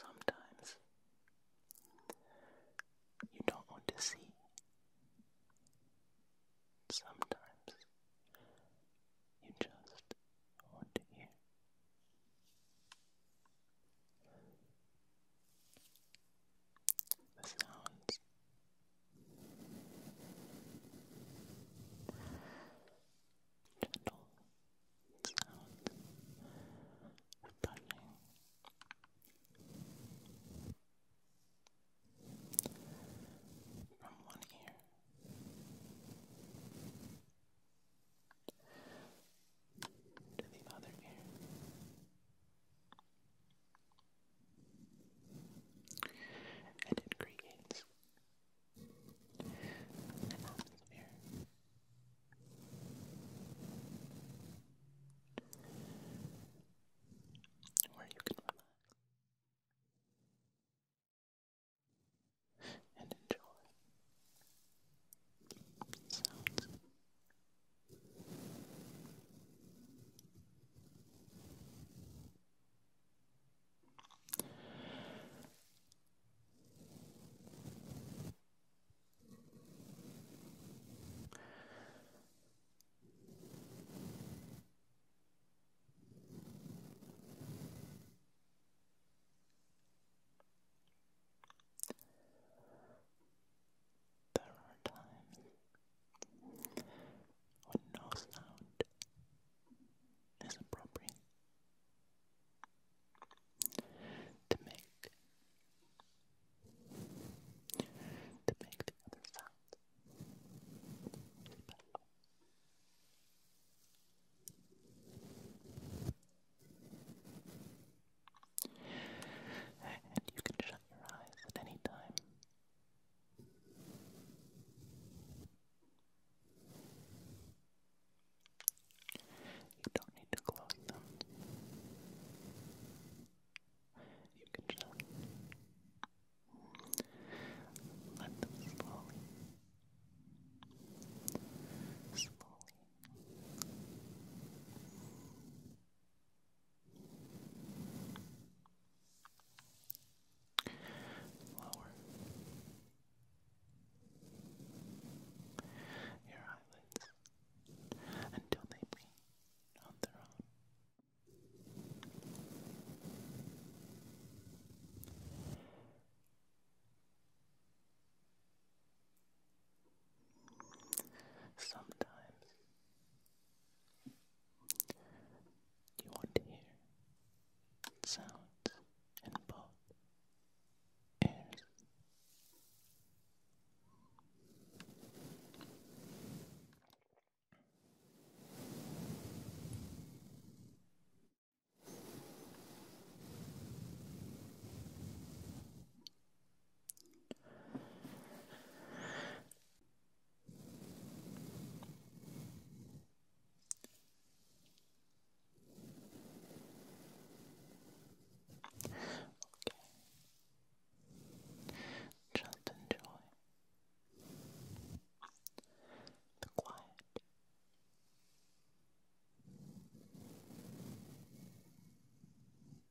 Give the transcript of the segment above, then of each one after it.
Sometimes you don't want to see. Sometimes you just want to hear. The sounds gentle sound brushing. From one ear to the other ear, and it creates here. Where you can relax and enjoy sounds. There are times when no sound is appropriate. To make to make the other sound And you can shut your eyes at any time you don't need to close them. You can just let them slowly, slowly Lower. Your eyelids until they bleed on their own. Sometimes you want to hear sounds in both ears. Just enjoy the quiet.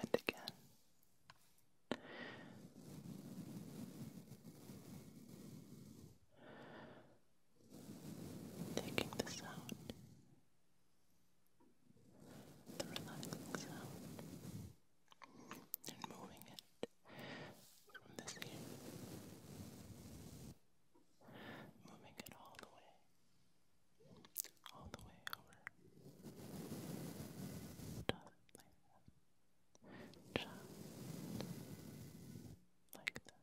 And again, taking the sound, the relaxing sound, and moving it from this ear, moving it all the way, all the way over. Just like that.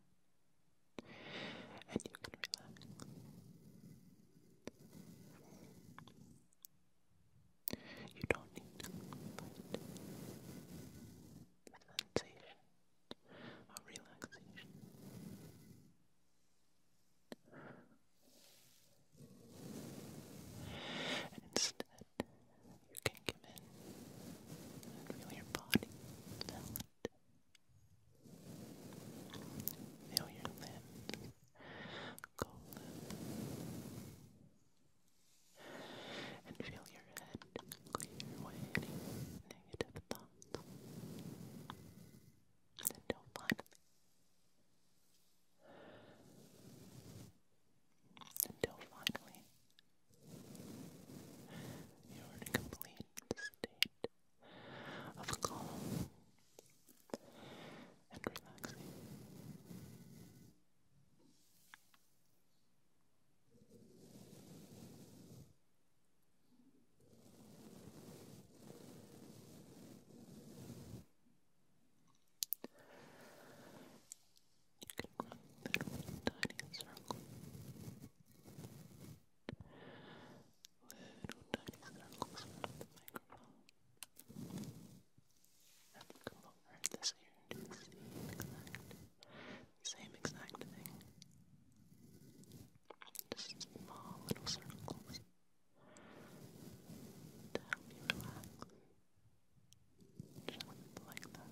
And you can relax. You don't need to fight relaxation. instead, you can give in and feel your body valid. Feel your limbs, cold, and feel your head clear away any negative thoughts. Until finally, until finally, you are in a complete state of calm and relaxing that one tiny circle. Little tiny circles around the microphone. Now same exact thing. Just small little circles to help you relax. Just like that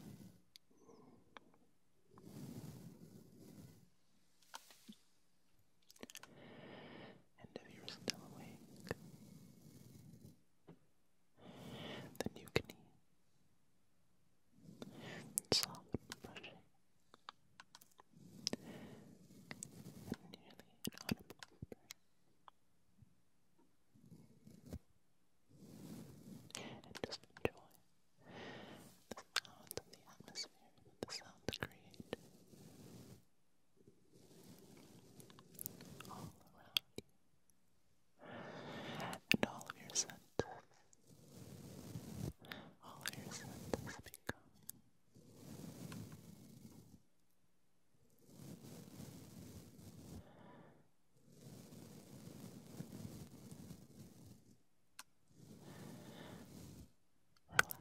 and if you're still awake, then you can Soft brushing and nearly inaudible and just enjoy the sounds of the atmosphere that the sounds create all around you and all of your senses, all of your senses become relaxed.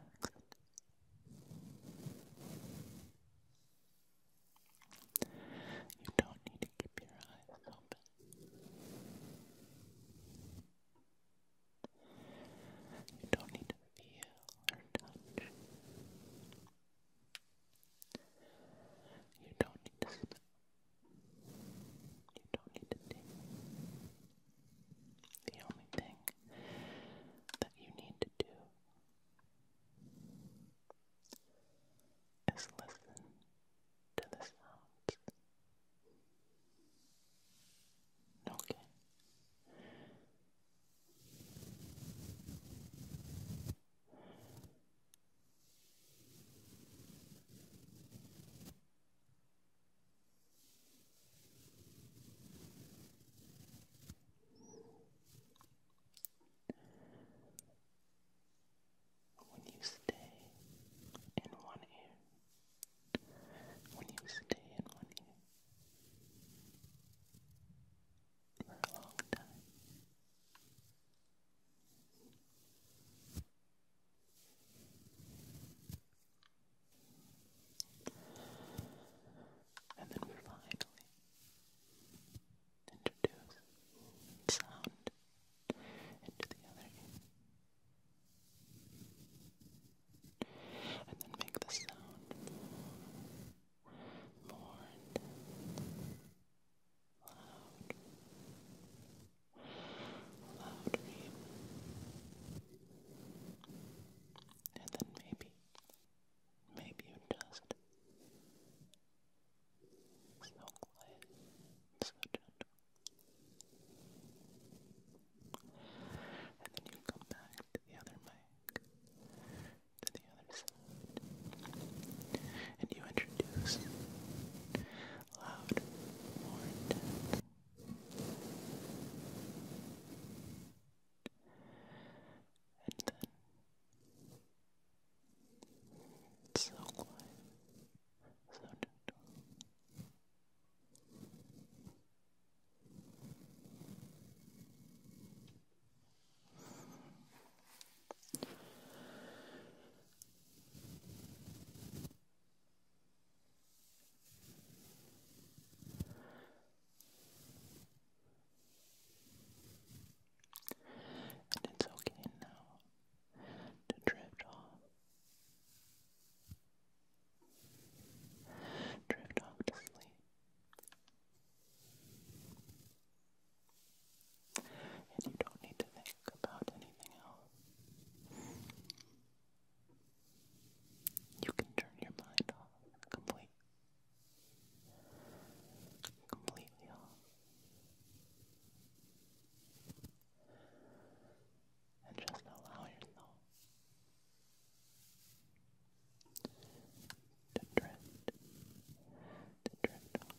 You don't need to keep your eyes open. You don't need to feel or touch. You don't need to smell. You don't need to think. The only thing that you need to do is listen to the sounds. Okay. When you stay in one ear, when you stay in one ear for a long time, and then finally introduce sound into the other ear. And then make the sound more, loud loud And then maybe, maybe you just so quiet, so gentle. And then you come back to the other mic, to the other side, and you introduce loud, more intense and then it's so quiet, so gentle. And it's okay now to drift off. Drift off to sleep. And you don't need to think about anything else. You can turn your mind off completely. Completely off. And just allow yourself to drift, to drift off,